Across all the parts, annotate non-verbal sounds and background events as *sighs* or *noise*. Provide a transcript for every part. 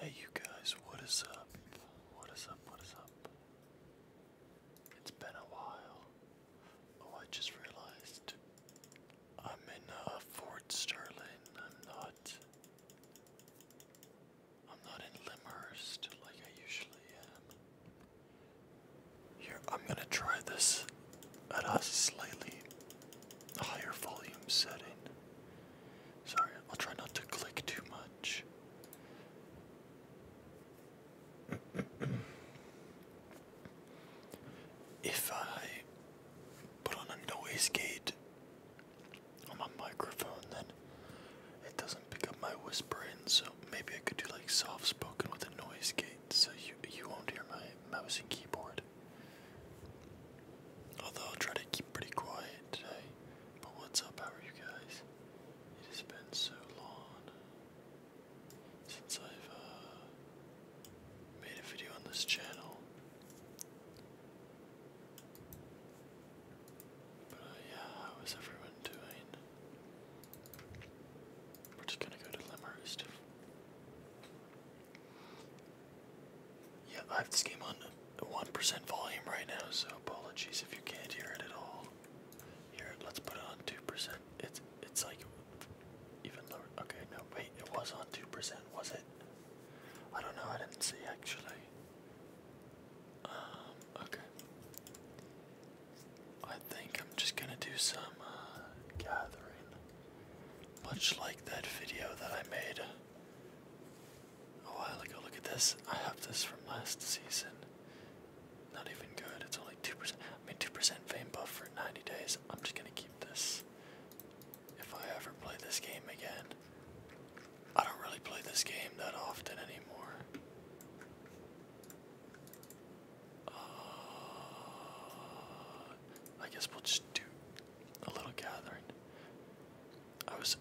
Hey you guys, what is up? What is up? What is up? It's been a while. Oh, I just realized I'm in uh, Fort Sterling. I'm not. I'm not in Limhurst like I usually am. Here, I'm gonna try this at a slightly higher volume setting. Sorry, I'll try not to click too much. *clears throat* if I put on a noise gate on my microphone, then it doesn't pick up my whispering, so maybe I could do like soft spoken with a noise gate so you, you won't hear my mouse and keyboard. Although I'll try to keep pretty quiet today. But what's up? How are you guys? It has been so long since I've uh, made a video on this channel. But uh, yeah, how is everyone doing? We're just gonna go to Limmerist. Yeah, I have this game on 1% volume right now, so apologies if you can't hear it at all. Here, let's put it on 2%. It's it's like even lower. Okay, no, wait, it was on 2%, was it? I don't know, I didn't see actually. Um, okay. I think I'm just gonna do some uh, gathering. Much like that video that I made a while ago. Look at this. I have this from last season. Not even good. It's only 2%. I mean, 2% fame buff for 90 days. I'm just going to keep this. If I ever play this game again, I don't really play this game that often anymore. Uh, I guess we'll just do a little gathering. I was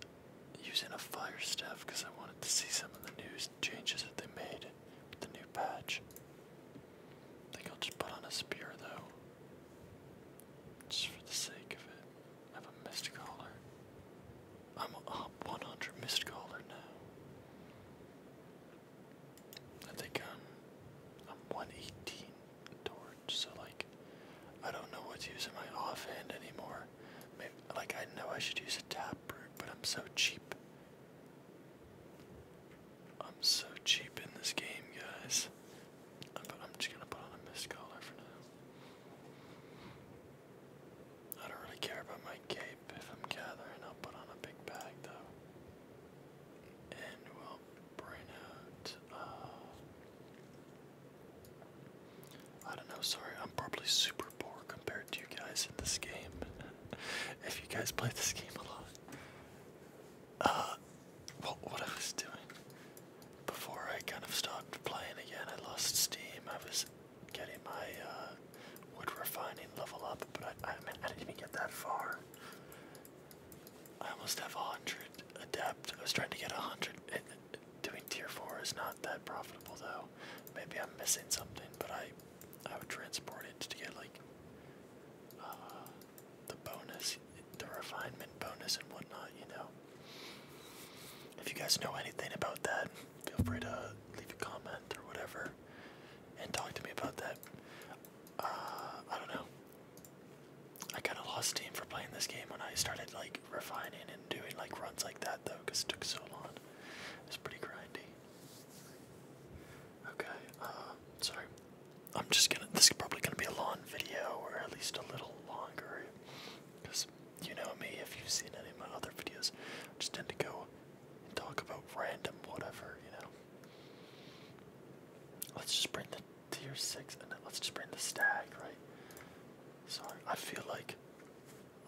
using a fire staff because I wanted to see some of the new changes that they made with the new patch. I think I'll just put on a spear though. Just for the sake of it. I have a mist caller. I'm up 100 mist caller now. I think I'm, 118 door so like I don't know what to use in my offhand anymore. like I know I should use a tap root, but I'm so cheap. I'm so cheap in this game, guys. I'm just gonna put on a mist collar for now. I don't really care about my cape. If I'm gathering, I'll put on a big bag though. And we bring out. Uh, I don't know. Sorry, I'm probably super poor compared to you guys in this game. *laughs* if you guys play this game a lot. Uh, well, what I was doing before I kind of stopped playing again, I lost steam. I was getting my uh, wood refining level up, but I, I didn't even get that far. I almost have a hundred adept. I was trying to get a hundred. Doing tier four is not that profitable though. Maybe I'm missing something, but I, I would transport it to get like uh, the bonus, the refinement bonus and whatnot. You know. If you guys know anything about that, feel free to leave a comment or whatever, and talk to me about that. Uh, I don't know. I kind of lost steam for playing this game when I started like refining and doing like runs like that though, because it took so long. It's pretty grindy. Okay, um, sorry. I'm just gonna. This is probably gonna be a long video, or at least a little longer, because you know me. If you've seen any of my other videos, I just tend to go and talk about random whatever, you know. Let's just bring the tier six, and let's just bring the stag, right? Sorry, I feel like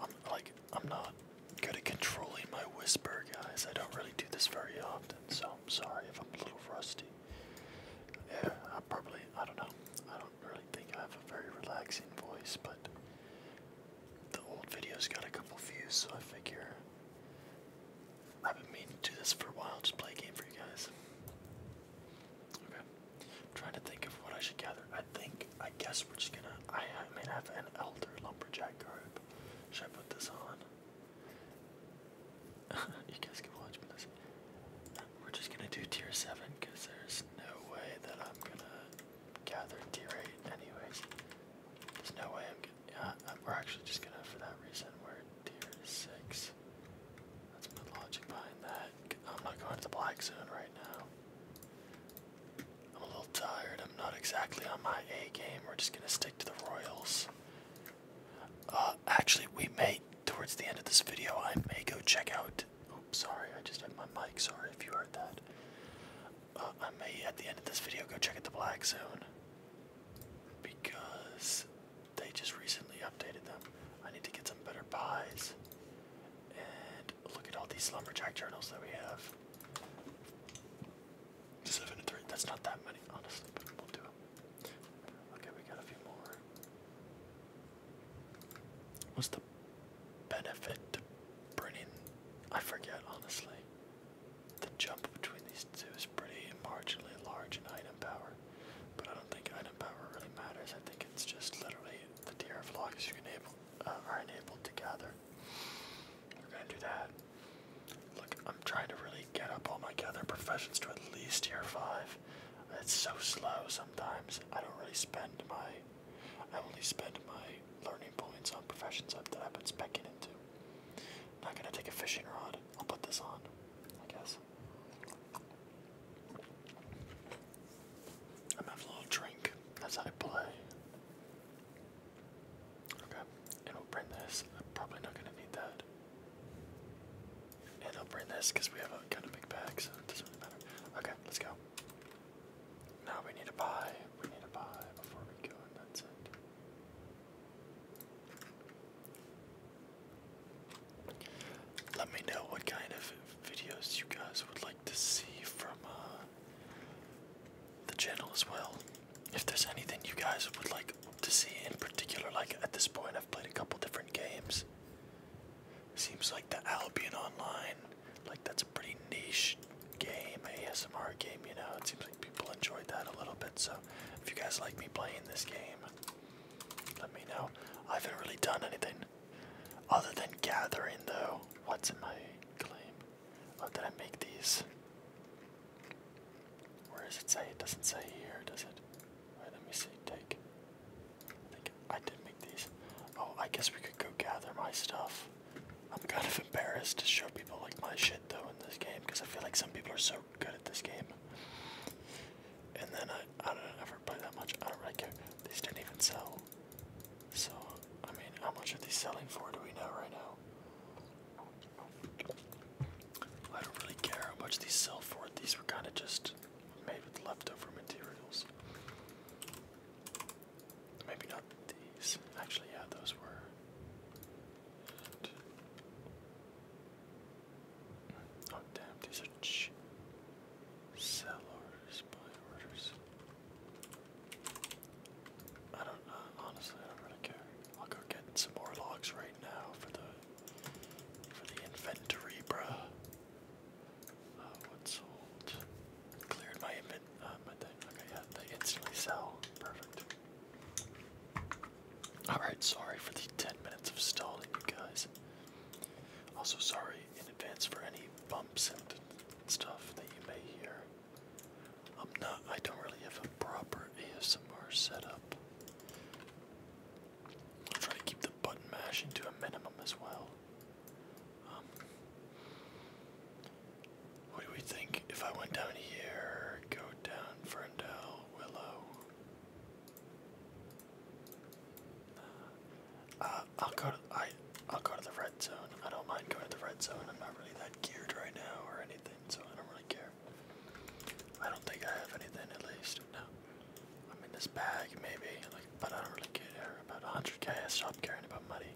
I'm like I'm not good at controlling my whisper, guys. I don't really do this very often, so I'm sorry if I'm a little frosty. Yeah, I probably I don't know. I don't really think I have a very relaxing voice, but the old video's got a couple views, so I figure I've been meaning to do this for a while, just play a game for you guys. Okay. i trying to think of what I should gather. I think, I guess we're just gonna, I, I mean, I have an elder lumberjack garb. Should I put this on? *laughs* you guys can watch me this. We're just gonna do tier 7 because there's no way that I'm gonna gather tier 8 anyways. There's no way I'm gonna, yeah, uh, we're actually just gonna, for that reason, we're tier 6. That's good logic behind that. I'm not going to the black zone right now. I'm a little tired. I'm not exactly on my A game. We're just going to stick to the Royals. Uh, actually, we may, towards the end of this video, I may go check out. Oops, sorry, I just had my mic. Sorry if you heard that. Uh, I may, at the end of this video, go check out the black zone. Because they just recently updated them. I need to get some better buys. And look at all these lumberjack journals that we have. Seven and three. That's not that many, honestly, we'll do them. Okay, we got a few more. What's the benefit to bringing? I forget, honestly. The jump between these two is pretty marginally large in item power. But I don't think item power really matters. I think it's just literally the tier of logs you enable, uh, are enabled to gather. We're gonna do that. Look, I'm trying to really get up all my gather professions to at least tier five. It's so slow sometimes. I don't really spend my, I only spend my learning points on professions that I've been specking into. I'm not gonna take a fishing rod. I'll put this on, I guess. I'm having a little drink as I play. Okay, and we'll bring this. I'm probably not gonna need that. And I'll bring this because we have a kind of big bag, so it doesn't really matter. Okay, let's go. Now we need to buy. We need to buy before we go, and that's it. Let me know what kind of videos you guys would like to see from uh, the channel as well. If there's anything you guys would like to see in particular, like at this point, I've played a couple different games. Seems like the Albion Online, like that's a pretty niche game, ASMR game, you know. It seems like people enjoyed that a little bit. So if you guys like me playing this game, let me know. I haven't really done anything other than gathering, though. What's in my claim? Oh, did I make these? Where does it say? It doesn't say here, does it? Wait, let me see. Take. I think I did make these. Oh, I guess we could go gather my stuff. I'm kind of embarrassed to show people like my shit though in this game because I feel like some people are so good at this game. And then I. Uh, I don't ever play that much. I don't really care. These didn't even sell. So, I mean, how much are these selling for? Do we know right now? I don't really care how much these sell for. These were kind of just made with leftover materials. Maybe not these. Actually, yeah, those were. Oh damn, these are cheap. Sellers, buy orders. I don't uh, honestly, I don't really care. I'll go get some more logs right now for the for the inventory, bruh. Uh, what's sold? Cleared my invent, uh, my thing. yeah, they instantly sell. Perfect. Alright, sorry for the 10 minutes of stalling, you guys. Also, sorry in advance for any bumps and stuff that you may hear. I'm not, I don't really have a proper ASMR setup. I'll try to keep the button mashing to a minimum as well. Um, what do we think if I went down here, go down Ferndale, Willow? Uh, I'll go. To, I I'll go to the red zone. I don't mind going to the red zone. I'm not really that geared right now or anything, so I don't really care. I don't think I have anything at least. No, I'm in this bag maybe, but I don't really care about 100k. I stopped caring about money.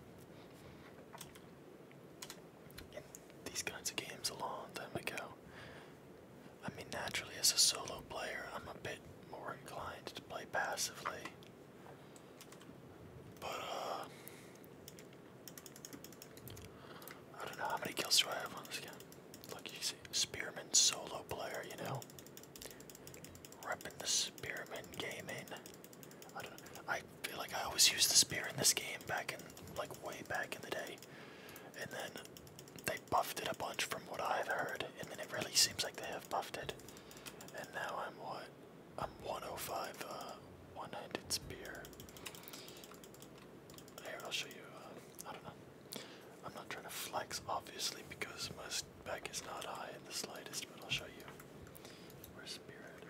In these kinds of games a long time ago, I mean, naturally, as a solo player, I'm a bit more inclined to play passively. But, uh, I don't know how many kills do I have on this game. Look, you see, Spearman solo player, you know? Repping the Spearman gaming. I don't know. I feel like I always use the spear in this game back in, like, way back in the day. And then they buffed it a bunch from what I've heard, and then it really seems like they have buffed it. And now I'm what? I'm 105, uh, one-handed spear. Here, I'll show you, uh, I don't know. I'm not trying to flex, obviously, because my spec is not high in the slightest, but I'll show you. Where's spirit?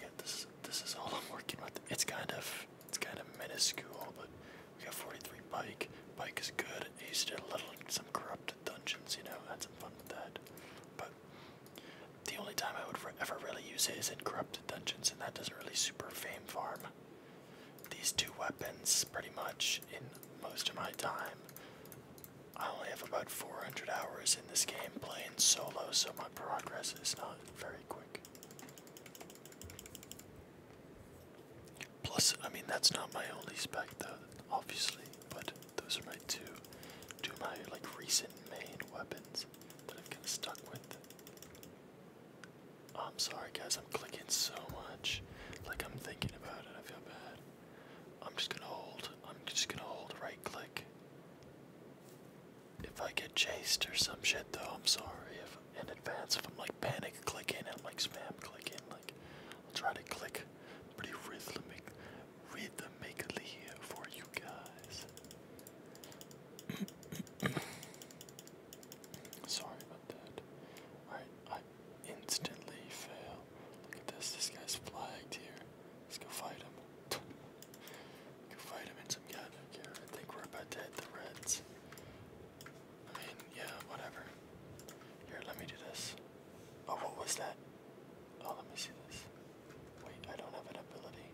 Yeah, this, this is all I'm working with. It's kind of, it's kind of minuscule, but we got 43 Pike. Pike is good. used to do a little in some corrupted dungeons, you know, had some fun with that. But the only time I would ever really use it is in corrupted dungeons, and that doesn't really super fame farm. These two weapons, pretty much, in most of my time. I only have about 400 hours in this game playing solo, so my progress is not very quick. Plus, I mean, that's not my only spec, though, obviously, but those are my two, two my, like, recent main weapons that I've kind of stuck with. Oh, I'm sorry, guys, I'm clicking so much. Like, I'm thinking about it, I feel bad. I'm just gonna hold, I'm just gonna hold right click. If I get chased or some shit, though, I'm sorry if in advance if I'm like panic clicking and like spam clicking. Like I'll try to click pretty rhythmic, rhythmically for you guys. *coughs* Sorry about that. Alright, I instantly fail. Look at this. This guy's flagged here. Let's go fight him. *laughs* go fight him and some guy back here. I think we're about to hit the reds. I mean, yeah, whatever. Here, let me do this. Oh, what was that? Oh, let me see this. Wait, I don't have an ability.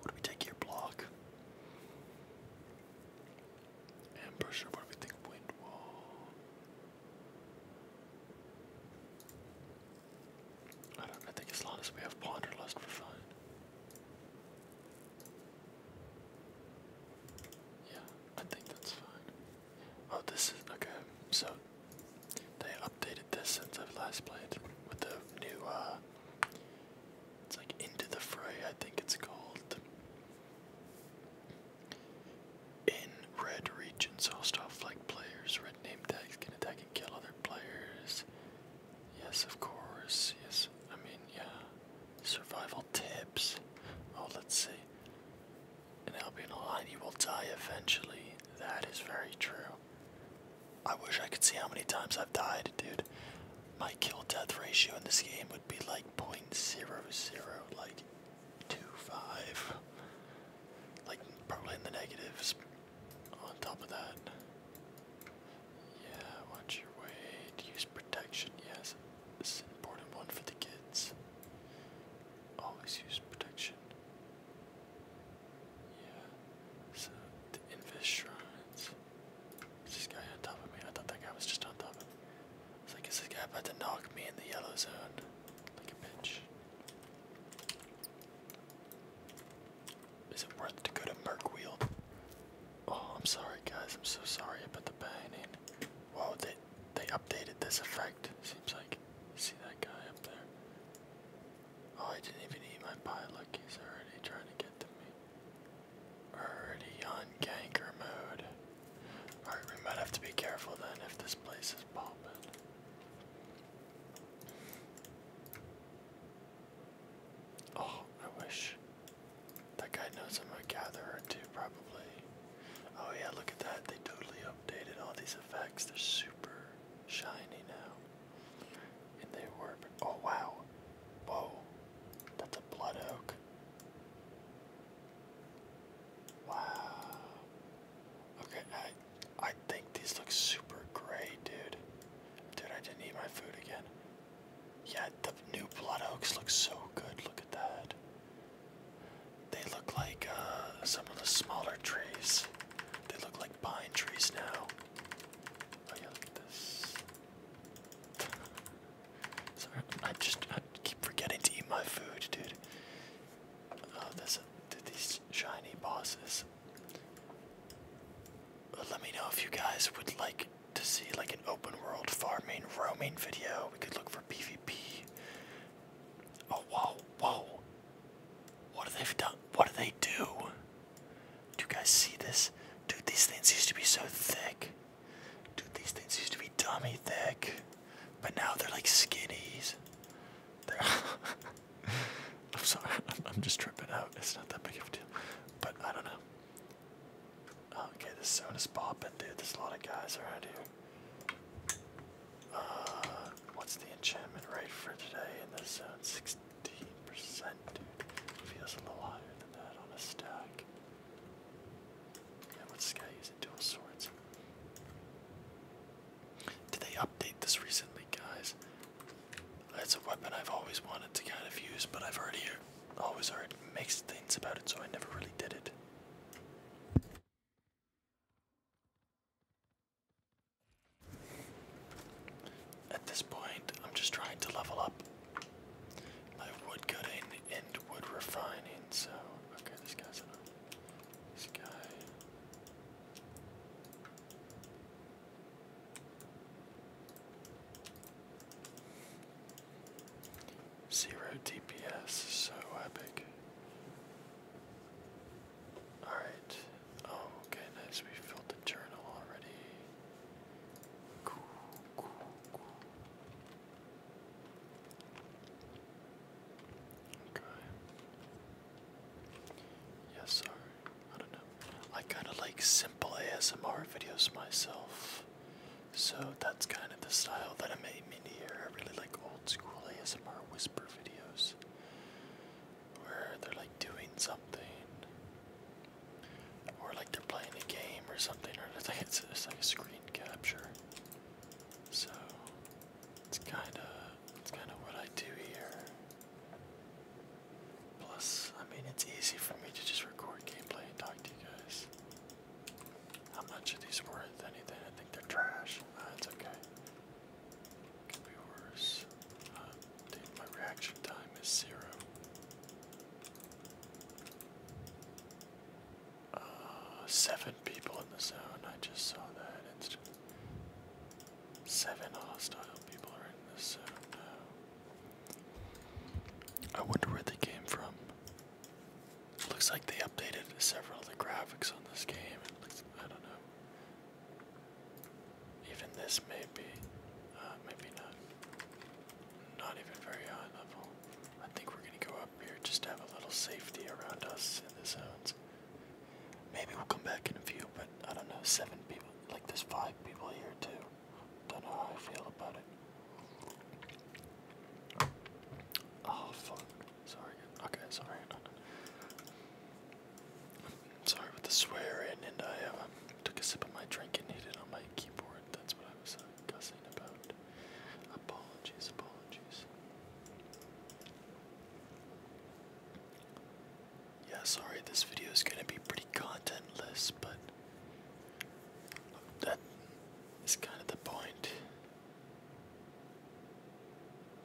What do we take here? Block. Ambusher, what do we think? Wind wall. I don't think as long as we have Ponderlust, we're fine. Yeah, I think that's fine. Oh, this is okay. So they updated this since I've last played with the new. uh It's like Into the Fray, I think it's called. In red regions, hostile like players, red name tags can attack and kill other players. Yes, of course. Yes, I mean, yeah. Survival tips. Oh, let's see. An Albion Almighty will die eventually. That is very true. I wish I could see how many times I've died, dude. My kill death ratio in this game would be like 0.00, like 25. Like, probably in the negatives on top of that. Yeah, watch your weight. Use protection. Yes, this is an important one for the kids. Always use protection. Yeah. So the Invis shrines. this guy on top of me? I thought that guy was just on top of me. It's like this guy about to knock me in the yellow zone? Like a bitch. Is it worth to go to Merkwield? Oh, I'm sorry guys, I'm so sorry about the banning. Whoa, they they updated this effect, seems like. See that guy up there? Oh, I didn't even eat my pie, look, he's already trying to get to me. Already on ganker mode. Alright, we might have to be careful then if this place is popping. Oh, I wish that guy knows I'm a gatherer too, probably. Oh yeah, look at that. They totally updated all these effects. They're super shiny now. And they were, oh wow. Whoa, that's a blood oak. Wow. Okay, I, I think these look super great, dude. Dude, I didn't eat my food again. Yeah, the new blood oaks look so good. Look at that. They look like uh, some of the smaller trees. They look like pine trees now. Oh yeah, look at this. *laughs* Sorry, I just keep forgetting to eat my food, dude. Oh, this, dude, these shiny bosses. Let me know if you guys would like to see like an open world farming roaming video. We could look for PvP. Oh whoa, whoa. What do they done? What do they do? Do you guys see this? Dude, these things used to be so thick. Dude, these things used to be dummy thick. But now they're like skinnies. *laughs* I'm sorry, *laughs* I'm just tripping out. It's not that big of a deal. But I don't know. Oh, okay, this zone is popping, dude. There's a lot of guys around here. Uh, what's the enchantment rate for today in this zone? 16%, dude. Feels a little higher than that on a stack. Yeah, what's this guy using? Dual swords. Did they update this recently, guys? That's a weapon I've always wanted to kind of use, but I've already always oh, already makes things about it, so I never really did it. At this point, I'm just trying to level up my wood cutting and wood refining, so okay, this guy's enough. This guy. Zero DPS, so epic. Alright. Oh, okay, nice. We filled the journal already. Cool, cool, cool. Okay. Yes, sir. I don't know. I kind of like simple ASMR videos myself, so that's kind of the style that I'm aiming here. I really like old school ASMR whisper videos where they're like doing something or like they're playing a game or something, or it's like, it's like a screen capture. So it's kind of it's kind of what I do here. Plus, I mean, it's easy for me to just record gameplay and talk to you guys. How much are these worth? Anything? I think they're trash. Uh, okay. Could be worse. Uh, my reaction time is zero. Uh, seven people in the zone. I just saw that. It's seven hostile people are in the zone now. I wonder where they came from. looks like they updated several of the graphics on this game. I don't know. Even this may be, uh, maybe not, not even very high level. I think we're gonna go up here just to have a little safety around us in the zones. Maybe we'll come back in a few, but I don't know, seven people, like there's five people here too. Don't know how I feel about it. Oh fuck. Sorry. Okay, sorry. Sorry with the swearing, and I uh, took a sip of my drink and hit it on my keyboard. That's what I was uh, cussing about. Apologies, apologies. Yeah, sorry, this video is gonna be pretty contentless, but that is kind of the point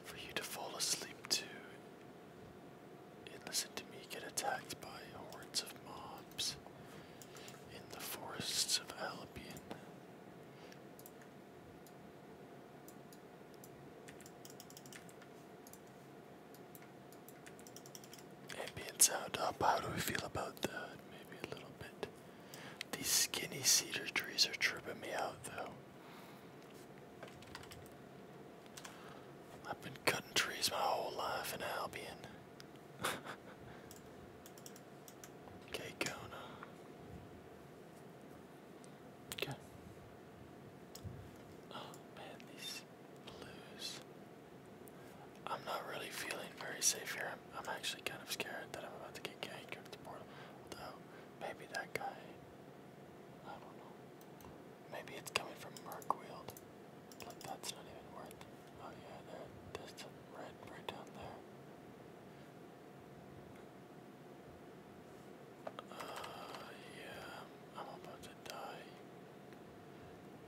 for you to fall asleep to and listen to me get attacked by hordes of mobs in the forests of Albion. Ambient sound up. How do we feel about that? Maybe a little bit. These skinny cedar trees are tripping me out though. I've been cutting trees my whole life in Albion. *laughs* okay, Kona. Okay. Oh man, these lose. I'm not really feeling very safe here. I'm, actually kind of scared that I'm about to get ganked at maybe that guy. I don't know. Maybe it's coming from Merkwield. But that's not even worth Oh, yeah, there, there's red right down there. Uh, yeah, I'm about to die,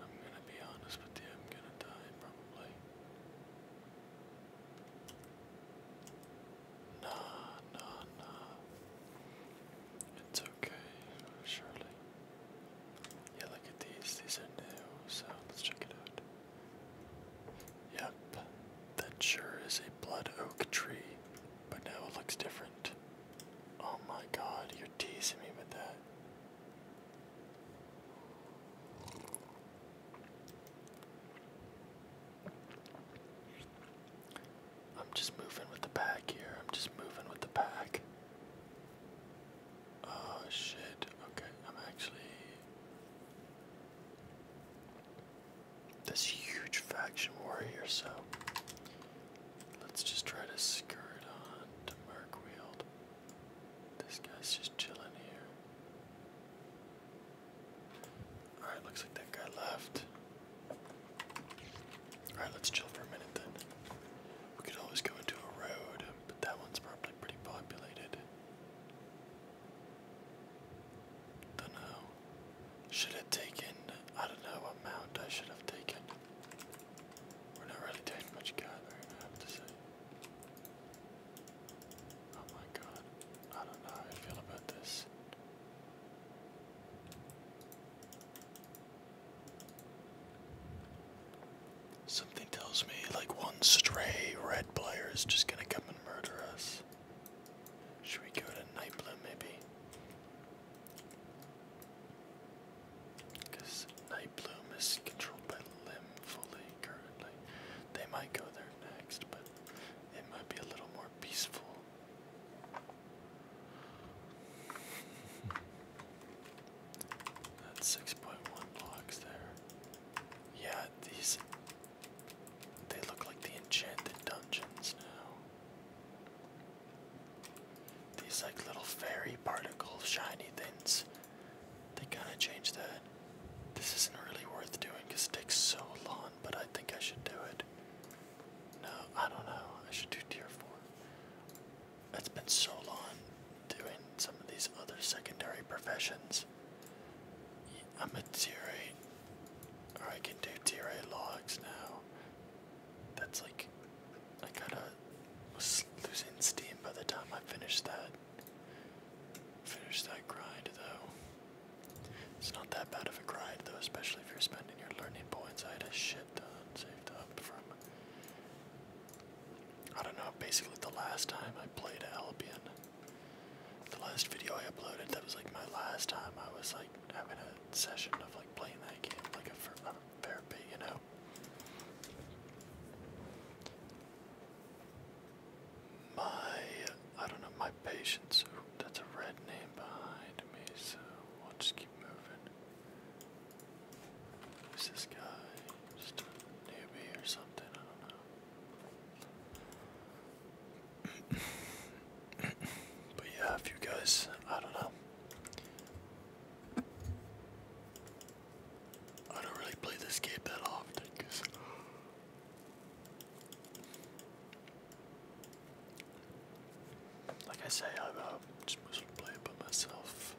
I'm gonna be honest with you, I'm gonna die probably. Nah, nah, nah. It's okay, surely. Yeah, look at these. These are new, so let's check it out. Yep, that sure is a blood oak tree, but now it looks different. Oh my god, you're teasing me with that. I'm just moving with the pack here. I'm just moving with the pack. Oh shit. Okay, I'm actually. This huge faction war here, so let's just try to skirt on Merkwield. This guy's just chilling here. Alright, looks like that guy left. Alright, let's chill for a minute then. We could always go into a road, but that one's probably pretty populated. Dunno. Should have taken, I don't know, a mount I should have taken. We're not really doing much gathering, I have to say. Oh my god. I don't know how I feel about this. Something tells me like one stray red player is just gonna come and murder us. Should we go to Nightblue maybe? Because Night Bloom is controlled by Limb fully currently. They might go there next, but it might be a little more peaceful. That's 6.1 blocks there. Yeah, these. They look like the enchanted dungeons now. These, like, little fairy particle shiny things they kind of changed that. This isn't really worth doing it takes so long, but I think I should do it. No, I don't know. I should do tier 4. It's been so long doing some of these other secondary professions. I'm a tier 8. Or I can do tier 8 logs now. That's like I kinda was losing steam by the time I finished that. Finished that grind though. It's not that bad of a grind though, especially if you're spending your learning points. I had a shit ton saved up from I don't know, basically the last time I played Albion. The last video I uploaded, that was like my last time I was like having a session of like playing that game, like a, a therapy, you know. My, I don't know, my patience. Ooh, that's a red name behind me, so we'll just keep moving. Who's this guy? a newbie or something, I don't know. *coughs* but yeah, if you guys, I don't know. I don't really play this game that often because like I say I'm uh, just mostly playing by myself.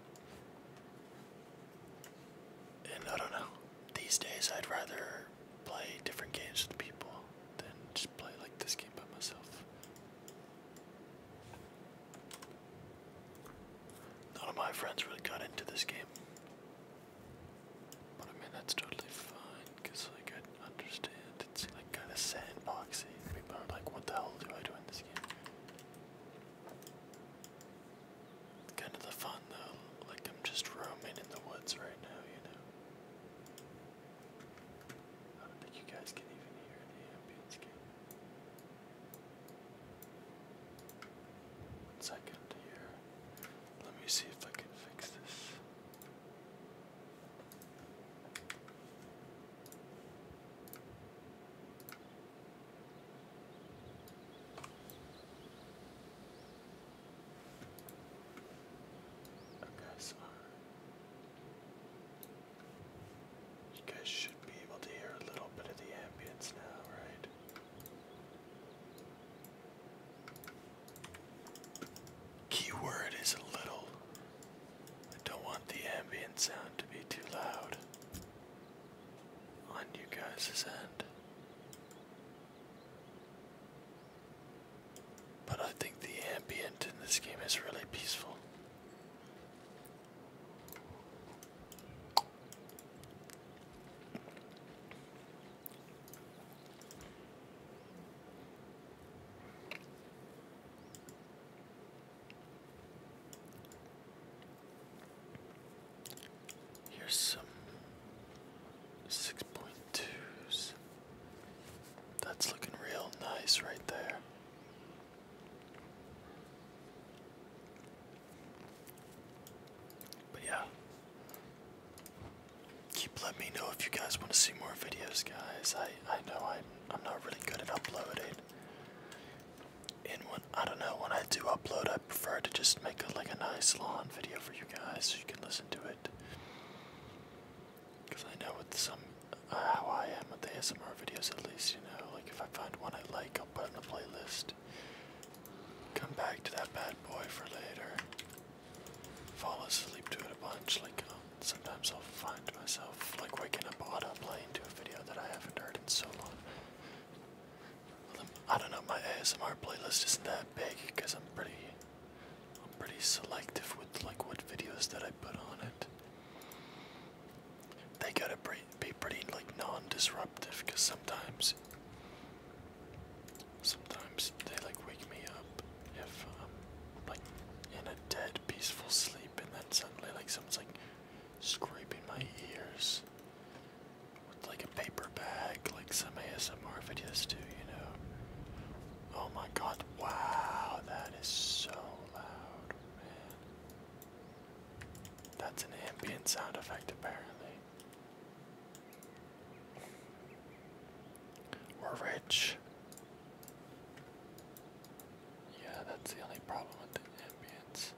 And I don't know. These days I'd rather play different games with people than just play like this game by myself. None of my friends really got into this game. But I mean, that's totally fine, because like I understand it's kind of sandboxy. People are like, what the hell do I do in this game? Kind of the fun though, like I'm just roaming in the woods right now, you know? One second here. Let me see if I can fix this. Okay, so you guys should be able to hear a little bit of the ambience now, right? Keyword is a little. I don't want the ambient sound to be too loud on you guys' end. But I think the ambient in this game is really peaceful. Here's some six point twos. That's looking real nice right there. But yeah. Keep letting me know if you guys want to see more videos, guys. I I know I'm I'm not really good at uploading. And when I don't know when I do upload, I prefer to just make a, like a nice long video for you guys, so you can listen to it. Cause I know with some uh, how I am with the ASMR videos, at least you know, like if I find one I like, I'll put it in the playlist. Come back to that bad boy for later. Fall asleep to it a bunch. Like um, sometimes I'll find myself like waking up auto playing to a video that I haven't heard in so long. Um, I don't know. My ASMR playlist isn't that big because I'm pretty, I'm pretty selective with like what videos that I put on it. They got to pre be pretty like non-disruptive because sometimes sometimes they like wake me up if I'm um, like in a dead peaceful sleep and then suddenly like someone's like scraping my ears with like a paper bag like some ASMR videos do, you know. Oh my god, wow, that is so loud, that's an ambient sound effect, apparently. We're rich. Yeah, that's the only problem with the ambience.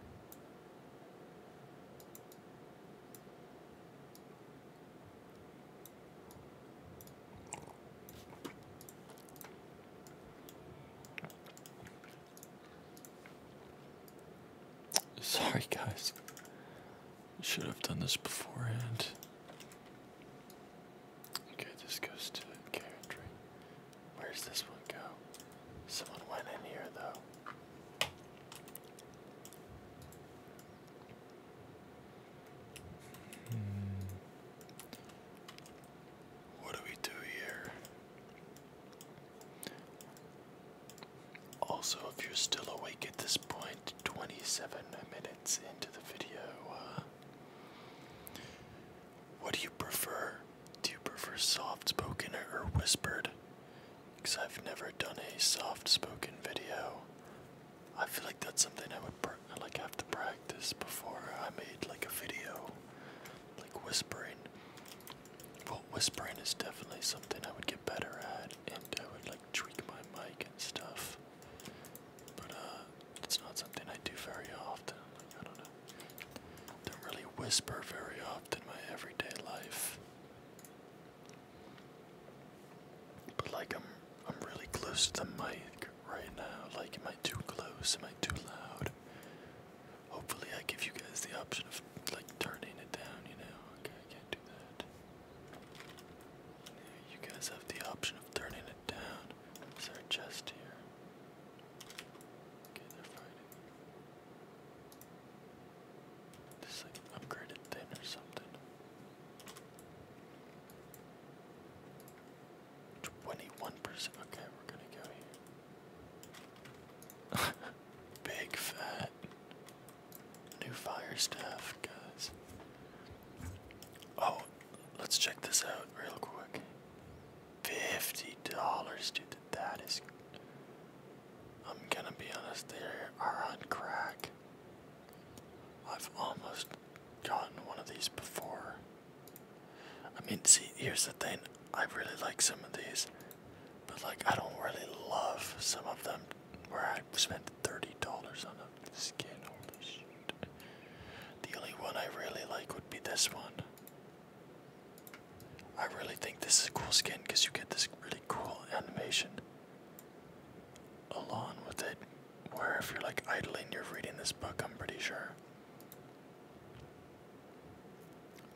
Sorry, guys. Should have done this beforehand. Okay, this goes to the carrotry. Where's this one go? Someone went in here, though. Hmm. What do we do here? Also, if you're still awake at this point, 27 minutes into the video, uh, what do you prefer? Do you prefer soft spoken or whispered? Because I've never done a soft spoken video. I feel like that's something I would pr like have to practice before I made like a video, like whispering. Well, whispering is definitely something I would get better at, and I would like tweak my mic and stuff. But uh, it's not something I do very often. I don't know. Don't really whisper very often in my everyday life. But like I'm, I'm really close to the mic right now. Like, am I too close? Am I too loud? Hopefully, I give you guys the option of like turning it down, you know. Okay, I can't do that. you guys have the option of turning it down. Is there chest here? Okay, they're fighting. This like upgraded thin or something. 21%. Okay, we're gonna go here. *laughs* Big fat new fire staff, guys. Oh, let's check this out real quick. Fifty dollars, dude. That is. I'm gonna be honest. They are on crack. I've almost gotten one of these before. I mean, see, here's the thing. I really like some of these. But like I don't really love some of them where I spent thirty dollars on a skin. Holy shit. The only one I really like would be this one. I really think this is a cool skin because you get this really cool animation along with it. Where if you're like idling, you're reading this book, I'm pretty sure.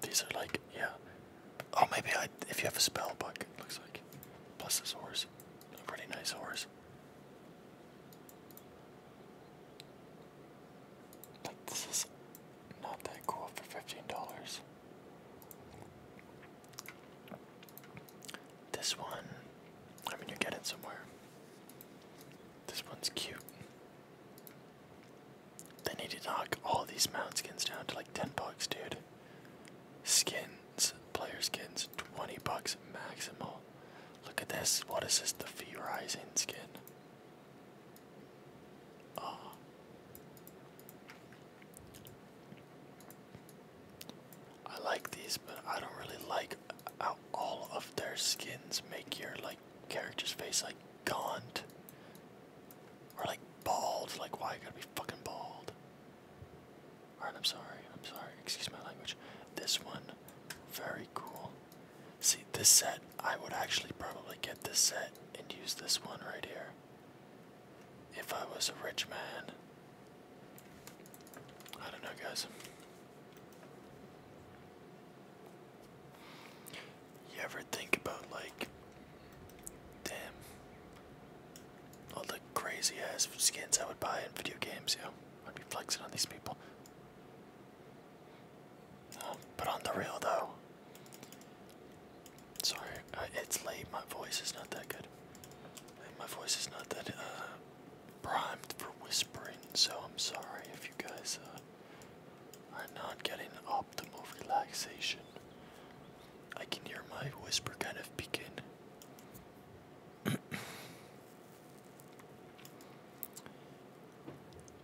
These are like, yeah. Oh, maybe I, if you have a spell book, looks like. Plus this horse. A pretty nice horse. But this is not that cool for $15. This one, I mean, you get it somewhere. This one's cute. They need to knock all these mount skins down to like 10 bucks, dude. Skins, player skins, 20 bucks maximum. Look at this. What is this? The fee rising skin. Oh. I like these, but I don't really like how all of their skins make your like character's face like gaunt or like bald. Like why you gotta be fucking bald? Alright, I'm sorry. I'm sorry. Excuse my language. This one, very cool. See, this set, I would actually probably get this set and use this one right here. If I was a rich man. I don't know, guys. You ever think about like, damn, all the crazy ass skins I would buy in video games? Yeah, I'd be flexing on these people. Um, but on the real though, sorry, uh, it's late. My voice is not that good. My voice is not that uh, primed for whispering, so I'm sorry if you guys uh, are not getting optimal relaxation I can hear my whisper kind of begin. *clears throat*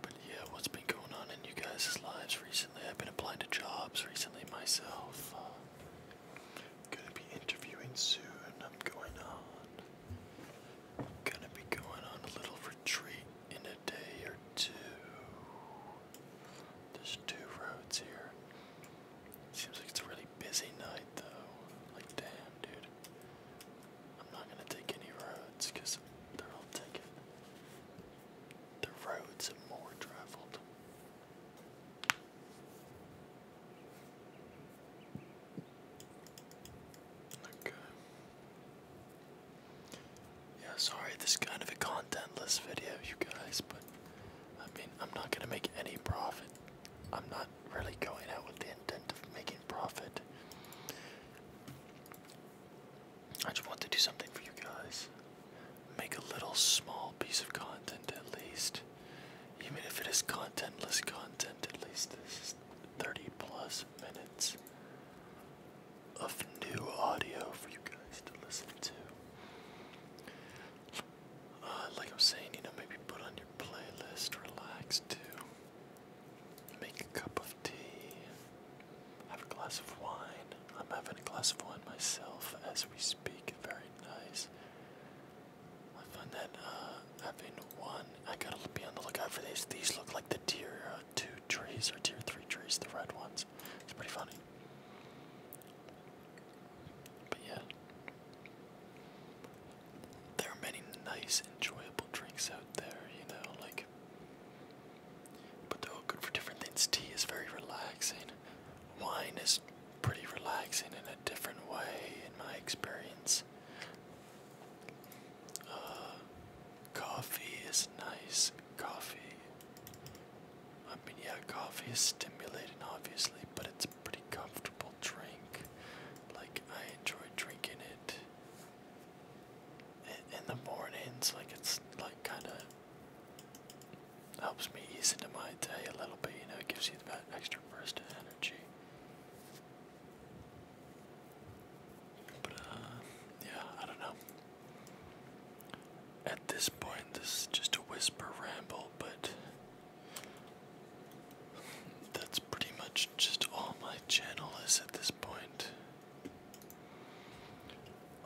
But yeah, what's been going on in you guys' lives recently? I've been applying to jobs recently myself. Uh, gonna be interviewing soon. I'm going on. Gonna be going on a little retreat in a day or two. There's two roads here. Seems like it's a really busy night though. Like damn dude. I'm not gonna take any roads they're all taken. The roads are more traveled. Okay. Yeah, sorry, this is kind of a contentless video, you guys, but I mean, I'm not gonna make any profit. I'm not really going out with the intent of making profit. I just want to do something for you guys. Make a little small piece of content at least. Even if it is contentless content, at least this is 30 plus minutes of new audio for you guys to listen to. Uh, like I was saying, you know, maybe put on your playlist, relax too. Make a cup of tea, have a glass of wine. I'm having a glass of wine myself as we speak. Very nice. I find that uh, having one, I gotta be on the lookout for these. These look like the tier uh, two trees or tier three trees, the red ones. It's pretty funny. But yeah. There are many nice, enjoyable drinks out there, you know, like. But they're all good for different things. Tea is very relaxing. Wine is pretty relaxing in a different way, in my experience. Uh, coffee is nice. Coffee I mean, yeah, coffee is stimulating, obviously, but it's a pretty comfortable drink. Like, I enjoy drinking it in the mornings. Like, it's like kind of helps me ease into my day a little bit, you know, it gives you that extra burst of energy. But, uh, yeah, I don't know. At this point, this is just a whisper ramble, but that's pretty much just all my channel is at this point.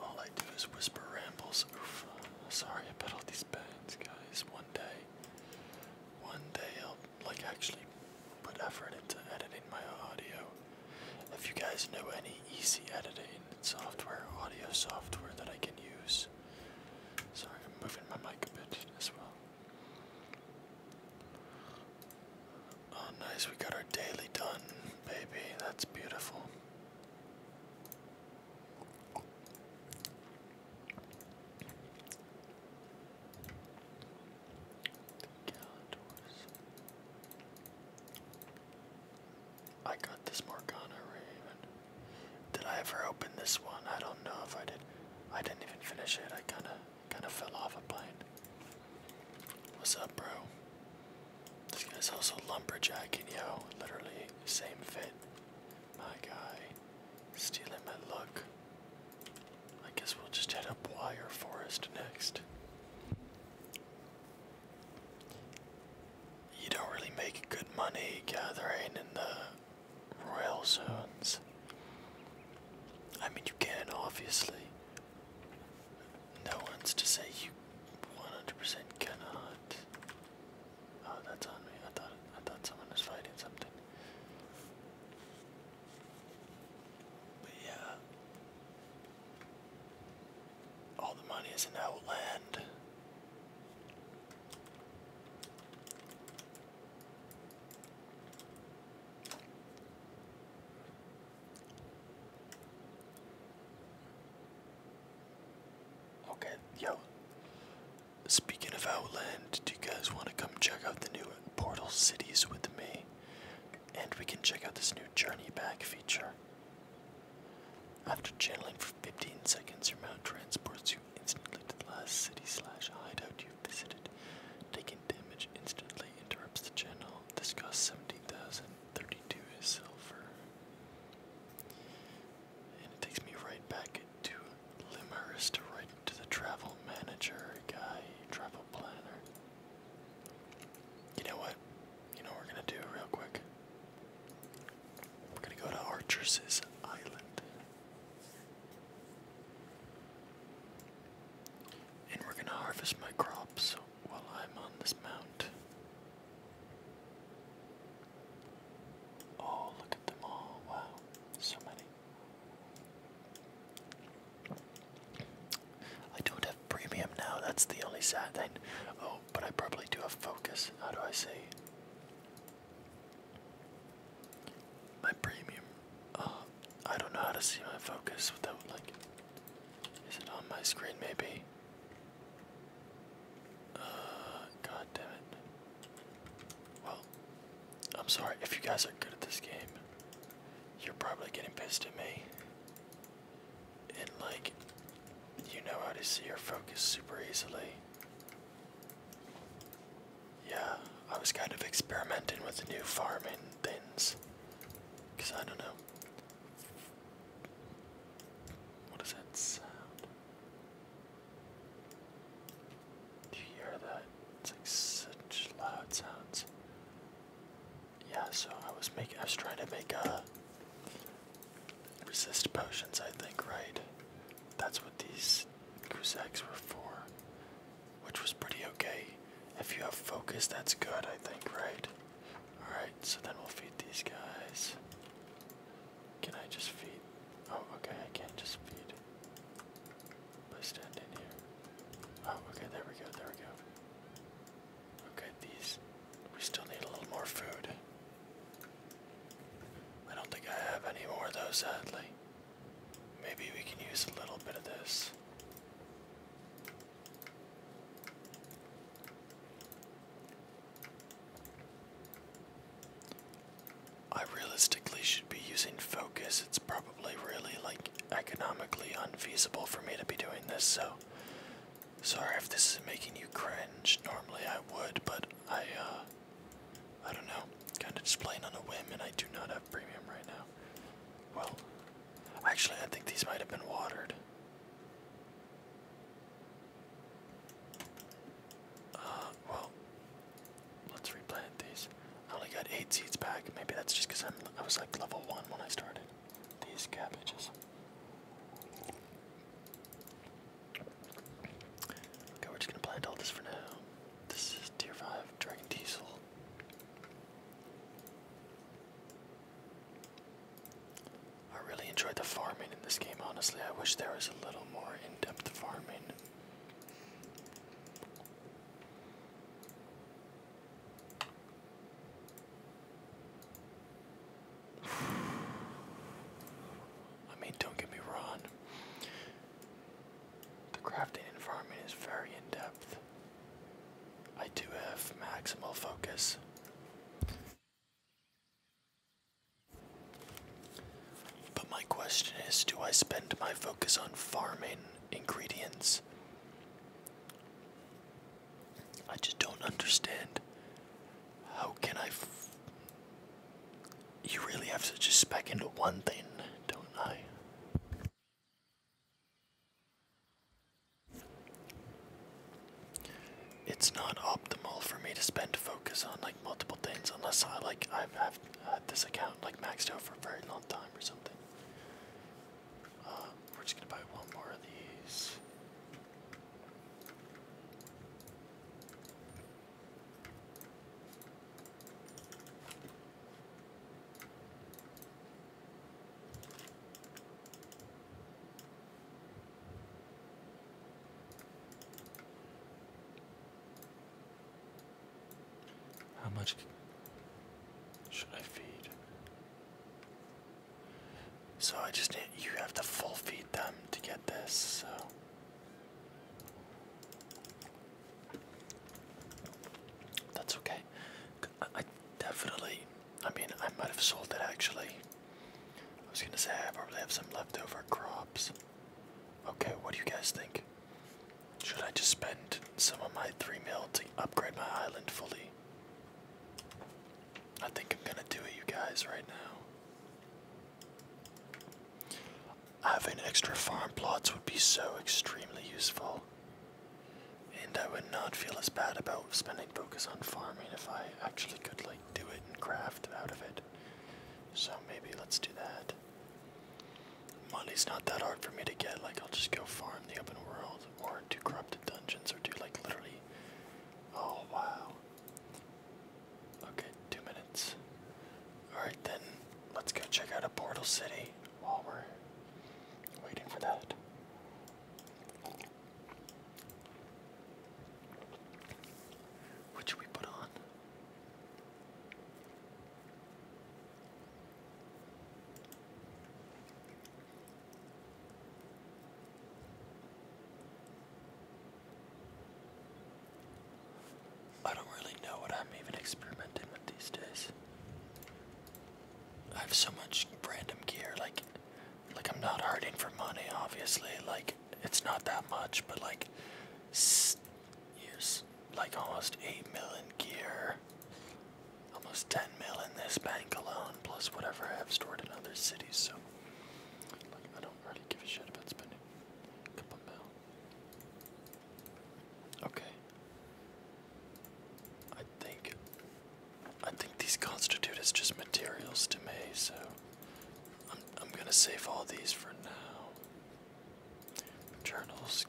All I do is whisper rambles. Oof. Sorry I put all these bands, guys. One day, one day I'll like actually put effort into editing my audio. If you guys know any easy editing software, audio software that I can use. Sorry, I'm moving my mic a bit as well. Oh, nice, we got our daily done, baby. That's beautiful. I got this Morgana Raven. Did I ever open this one? I don't know if I did. I didn't even finish it. I kind of kind of fell off a plane. What's up, bro? This guy's also lumberjacking, yo. Literally same fit. My guy stealing my look. I guess we'll just head up Wire Forest next. You don't really make good money gathering in the royal zones. I mean, you can, obviously. No one's to say you 100% cannot. Oh, that's on me. I thought I thought someone was fighting something. But yeah, all the money is in Outland. Okay, yo. Speaking of Outland, do you guys want to come check out the new Portal Cities with me? And we can check out this new Journey Back feature. After channeling for 15 seconds, your mount transports you instantly to the last city slash hideout you've visited. Taking damage instantly interrupts the channel. This costs 17,032 is silver. And it takes me right back to Limaris to write to the travel manager guy, travel planner. You know what? you know we're gonna do real quick? We're gonna go to Archer's Island. And we're gonna harvest my crops while I'm on this mount. Oh, look at them all. Wow, so many. I don't have premium now, that's the only sad thing. Oh, but I probably do have focus. How do I say? My premium. Uh, I don't know how to see my focus without, like. Is it on my screen, maybe? Uh, god damn it. Well, I'm sorry. If you guys are good at this game, you're probably getting pissed at me and like you know how to see your focus super easily. Yeah, I was kind of experimenting with the new farming things because I don't know. what is that sound? Do you hear that? It's like such loud sounds. Yeah, so I was making, I was trying to make a Resist potions, I think, right? That's what these goose eggs were for. Which was pretty okay. If you have focus, that's good, I think, right? Alright, so then we'll feed these guys. Can I just feed? Oh, okay, I can't just feed. But I stand in here. Oh, okay, there we go, there we go. Okay, these. We still need a little more food. I don't think I have any more of those, sadly. Maybe we can use a little bit of this. I realistically should be using focus. It's probably really like economically unfeasible for me to be doing this, so Sorry if this is making you cringe. Normally I would, but I, uh, I don't know. Kind of just playing on a whim, and I do not have premium right now. Well, actually, I think these might have been watered. Uh, well, let's replant these. I only got eight seeds back. Maybe that's just because I was like level one when I started. These cabbages. Okay, we're just gonna plant all this for now. This is tier 5 Dragon Diesel. I really enjoyed the farming in this game, honestly. I wish there was a little more in depth farming. *sighs* I mean, don't get me wrong. The crafting environment is very in depth. I do have maximal focus. But my question is do I spend my focus on farming ingredients? I just don't understand how can I? F you really have to just spec into one thing, don't I? It's not optimal for me to spend focus on like multiple things unless I like I've had this account like maxed out for a very long time or something. Uh, we're just gonna buy one more of these. How much should I feed? So I just need, you have to full feed them to get this. So. That's okay. I definitely, I mean, I might have sold it actually. I was gonna say I probably have some leftover crops. Okay, what do you guys think? Should I just spend some of my three mil to upgrade my island fully? I think I'm gonna do it, you guys, right now. Having extra farm plots would be so extremely useful. And I would not feel as bad about spending focus on farming if I actually could, like, do it and craft out of it. So maybe let's do that. Money's not that hard for me to get, like, I'll just go farm the open world or do corrupted dungeons or do, like, literally. Oh, wow. Okay, two minutes. Alright then, let's go check out a portal city while we're waiting for that. What should we put on? I don't really know what I'm even experimenting with these days. I have so much random gear, like like I'm not hurting for money, obviously. Like it's not that much, but like years, like almost eight million gear, almost ten million this bank alone, plus whatever I have stored in other cities. So like I don't really give a shit about spending Okay. I think I think these constitute as just materials to me, so I'm I'm gonna save all these for now. Journals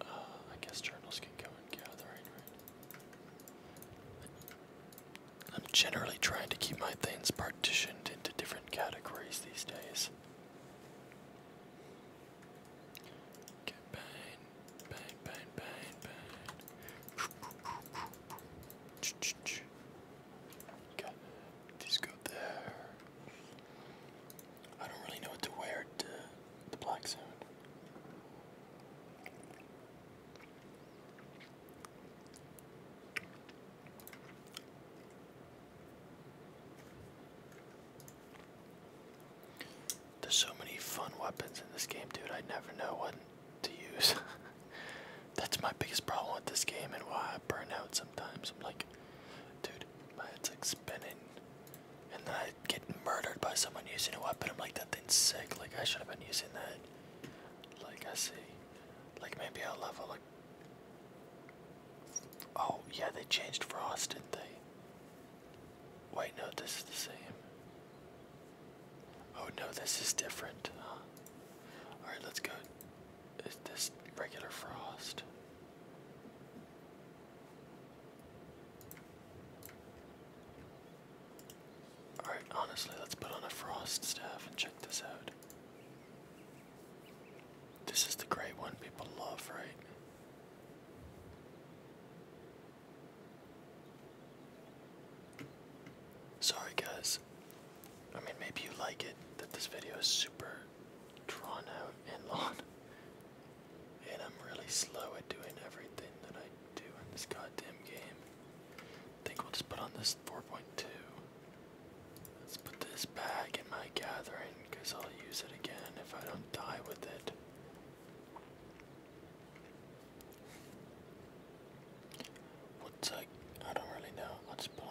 uh, I guess journals can go in gathering, I'm generally trying to keep my things partitioned into different categories these days. Okay, bang, bang, bang, bang, bang. Okay, these go there. I don't really know what to wear to the black zone. There's so many fun weapons in this game, dude. I never know what to use. *laughs* That's my biggest problem with this game and why I burn out sometimes. I'm like, dude, my head's like spinning. And then I get murdered by someone using a weapon. I'm like, that thing's sick. Like, I should have been using that. Like, I see. Like, maybe I'll level Oh yeah, they changed Frost, didn't they? Wait, no, this is the same. Oh no, this is different. Alright, let's go. Is this regular Frost? Alright, honestly, let's put on a Frost staff and check this out. This is the great one people love, right? Sorry, guys. I mean, maybe you like it that this video is super drawn out and long, and I'm really slow at doing everything that I do in this goddamn game. I think we'll just put on this 4.2. Let's put this bag in my gathering because I'll use it again if I don't die with it. What's a. I don't really know. Let's put on.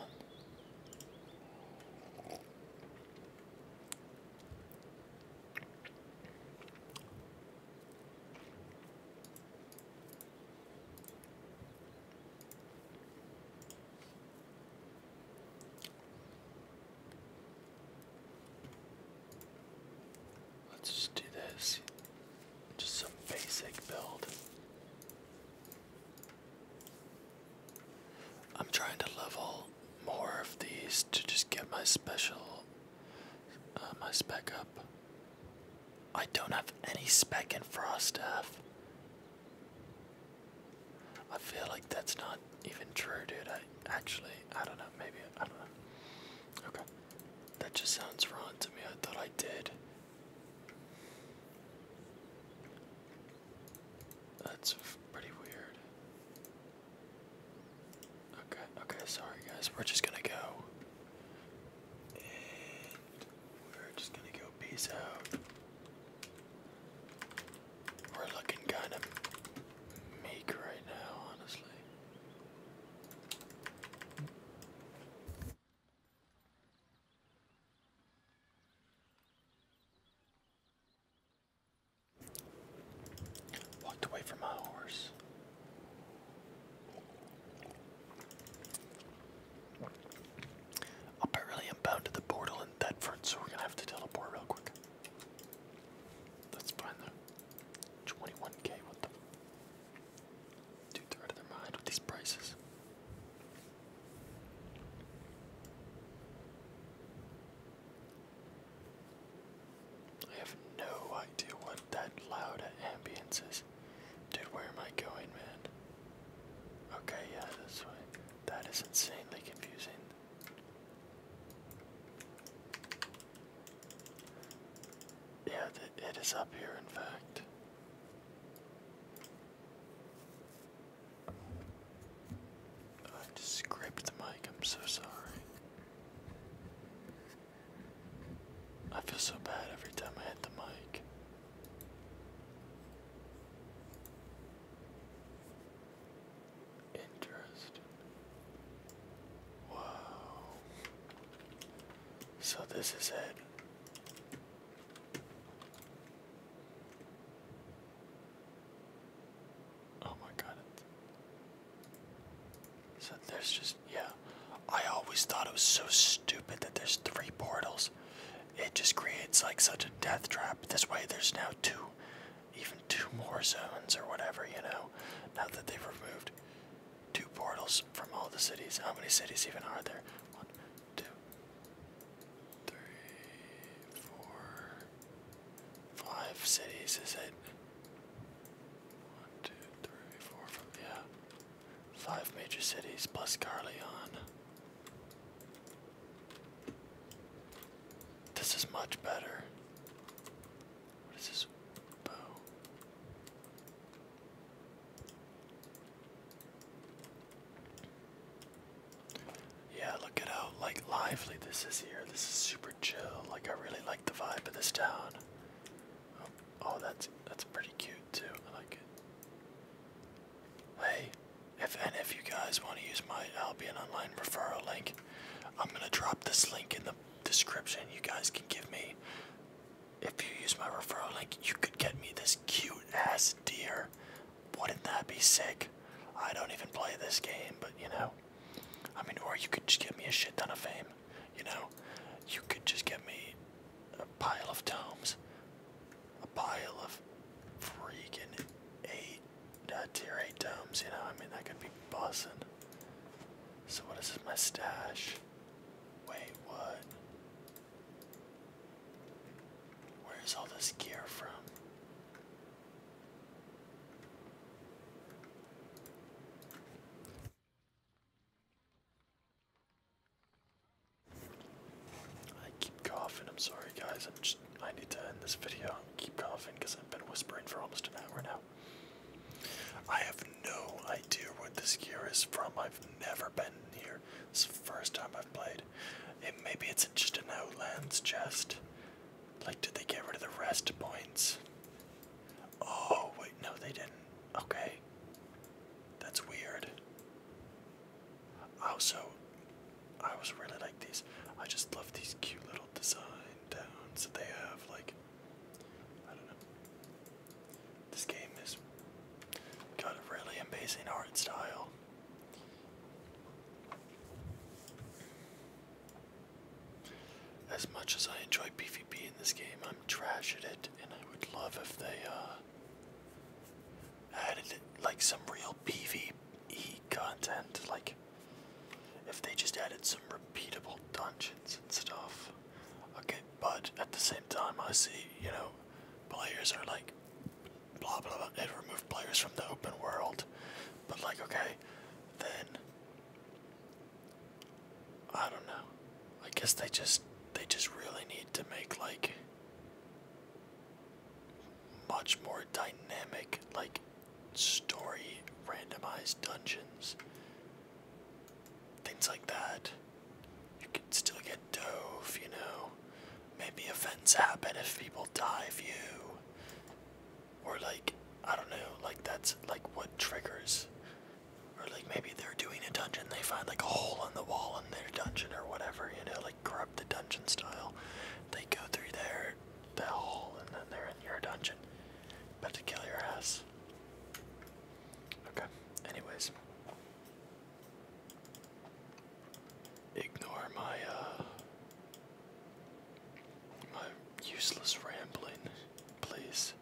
Let's just do this. Just some basic build. I'm trying to level more of these to just get my special, uh, my spec up. I don't have any spec in staff. I feel like that's not even true, dude. I actually, I don't know. Maybe I don't know. Okay, that just sounds wrong to me. I thought I did. That's pretty weird. Okay, okay, sorry guys. We're just gonna go. We're just gonna go peace out. We're looking kind of meek right now, honestly. Walked away from my horse. Apparently, I'm bound to the portal in Bedford, so we're gonna have to teleport real quick. Let's find 21k. What the? Dude, they're out of their mind with these prices. I have no idea what that loud ambience is. Dude, where am I going, man? Okay, yeah, that's right. That is insanely confusing. Yeah, it is up here, in fact. I just scraped the mic, I'm so sorry. I feel so bad every time I hit the mic. Interesting. Wow. So this is it. Oh my god. So there's just, yeah. I always thought it was so stupid that there's three portals it just creates like such a death trap. This way, there's now two, even two more zones or whatever, you know, now that they've removed two portals from all the cities. How many cities even are there? One, two, three, four, five cities, is it? One, two, three, four, five, yeah. Five major cities plus Carleon. This is much better. What is this? Bow. Yeah, look at how like lively this is here. This is super chill. Like I really like the vibe of this town. oh, oh that's that's pretty cute too. I like it. Hey, if any of you guys want to use my Albion Online referral link, I'm going to drop this link in the description. You guys can give me, if you use my referral link, you could get me this cute ass deer. Wouldn't that be sick? I don't even play this game, but you know. I mean, or you could just get me a shit ton of fame. You know, you could just get me a pile of tomes a pile of freaking eight uh, tier eight domes. You know, I mean that could be bussing. So what is this my stash? Wait, what? Where is all this gear from? I keep coughing. I'm sorry, guys. I'm I need to end this video. I keep coughing because I've been whispering for almost an hour now. I have no idea what this gear is from. I've never been here. It's the first time I've played. maybe it's just an Outlands chest. Like, did they get rid of the rest points? Oh, wait, no, they didn't. Okay. That's weird. Oh, also, I was really like these. I just love these cute little design downs that they have. Like, I don't know. This game is got a really amazing art style. As much as I enjoy PvP in this game, I'm trash at it, and I would love if they uh, added like some real PvE content, like if they just added some repeatable dungeons and stuff. Okay, but at the same time, I see, you know, players are like, blah blah blah, They removed players from the open world. But, like, okay, then. I don't know. I guess they just. They just really need to make, like much more dynamic, like story randomized dungeons, things like that. You can still get dove, you know. Maybe events happen if people dive you. Or, like, I don't know, like, that's like what triggers. Or, like, maybe they're doing a dungeon, they find like a hole in the wall in their dungeon or whatever, you know, like like corrupted dungeon style. They go through their the hole and then they're in your dungeon. About to kill your ass. Okay. Anyways. Ignore my uh, my useless rambling, please.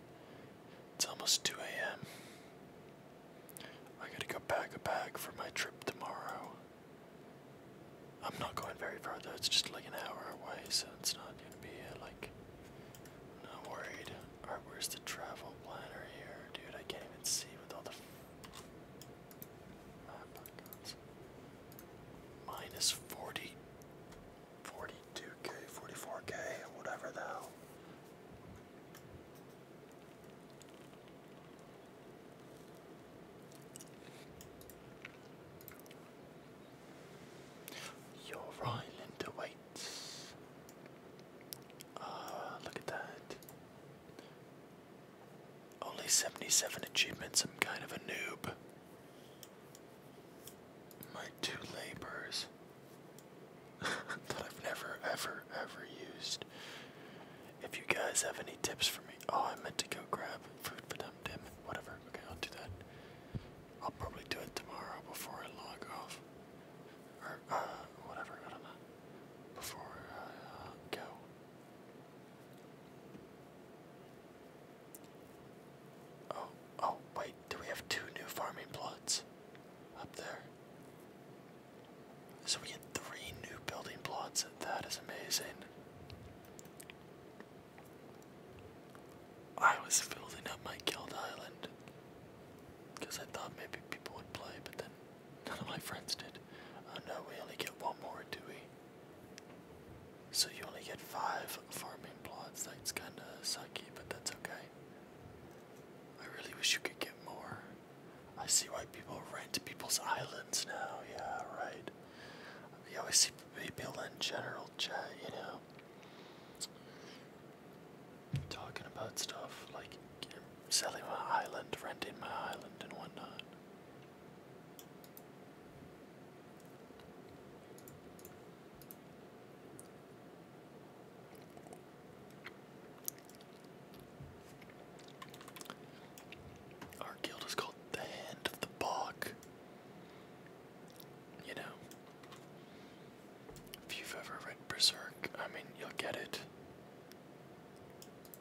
It's almost 2 a.m. I gotta go pack a bag for my trip tomorrow. I'm not going very far though, it's just like an hour away, so it's not gonna be uh, like. not worried. where's the travel planner here? Dude, I can't even see with all the. Map icons. Minus 40. 42k, 44k, whatever the hell. Your island awaits. Ah, look at that. Only 77 achievements, I'm kind of a noob. My two labors *laughs* that I've never, ever, ever used. If you guys have any tips for me, oh, I meant to go grab food for them. Damn whatever. Okay, I'll do that. I'll probably do it tomorrow before I log off, or uh, whatever. I don't know. Before uh, go. Oh, oh, wait. Do we have two new farming plots up there? So we get three new building plots. That is amazing. I was building up my guild island because I thought maybe people would play, but then none of my friends did. Uh, no, we only get one more, do we? So you only get five farming plots. That's kind of sucky, but that's okay. I really wish you could get more. I see why people rent people's islands now. Yeah, right. You always see people in general chat, you know, talking about stuff like um, selling my island, renting my island, and whatnot. Our guild is called the Hand of the Bog. You know, if you've ever read Berserk, I mean, you'll get it.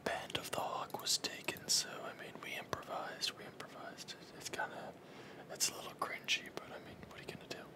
Band of the Hawk was taken, so I mean, we improvised, we improvised. It's kind of, it's a little cringy, but I mean, what are you gonna do?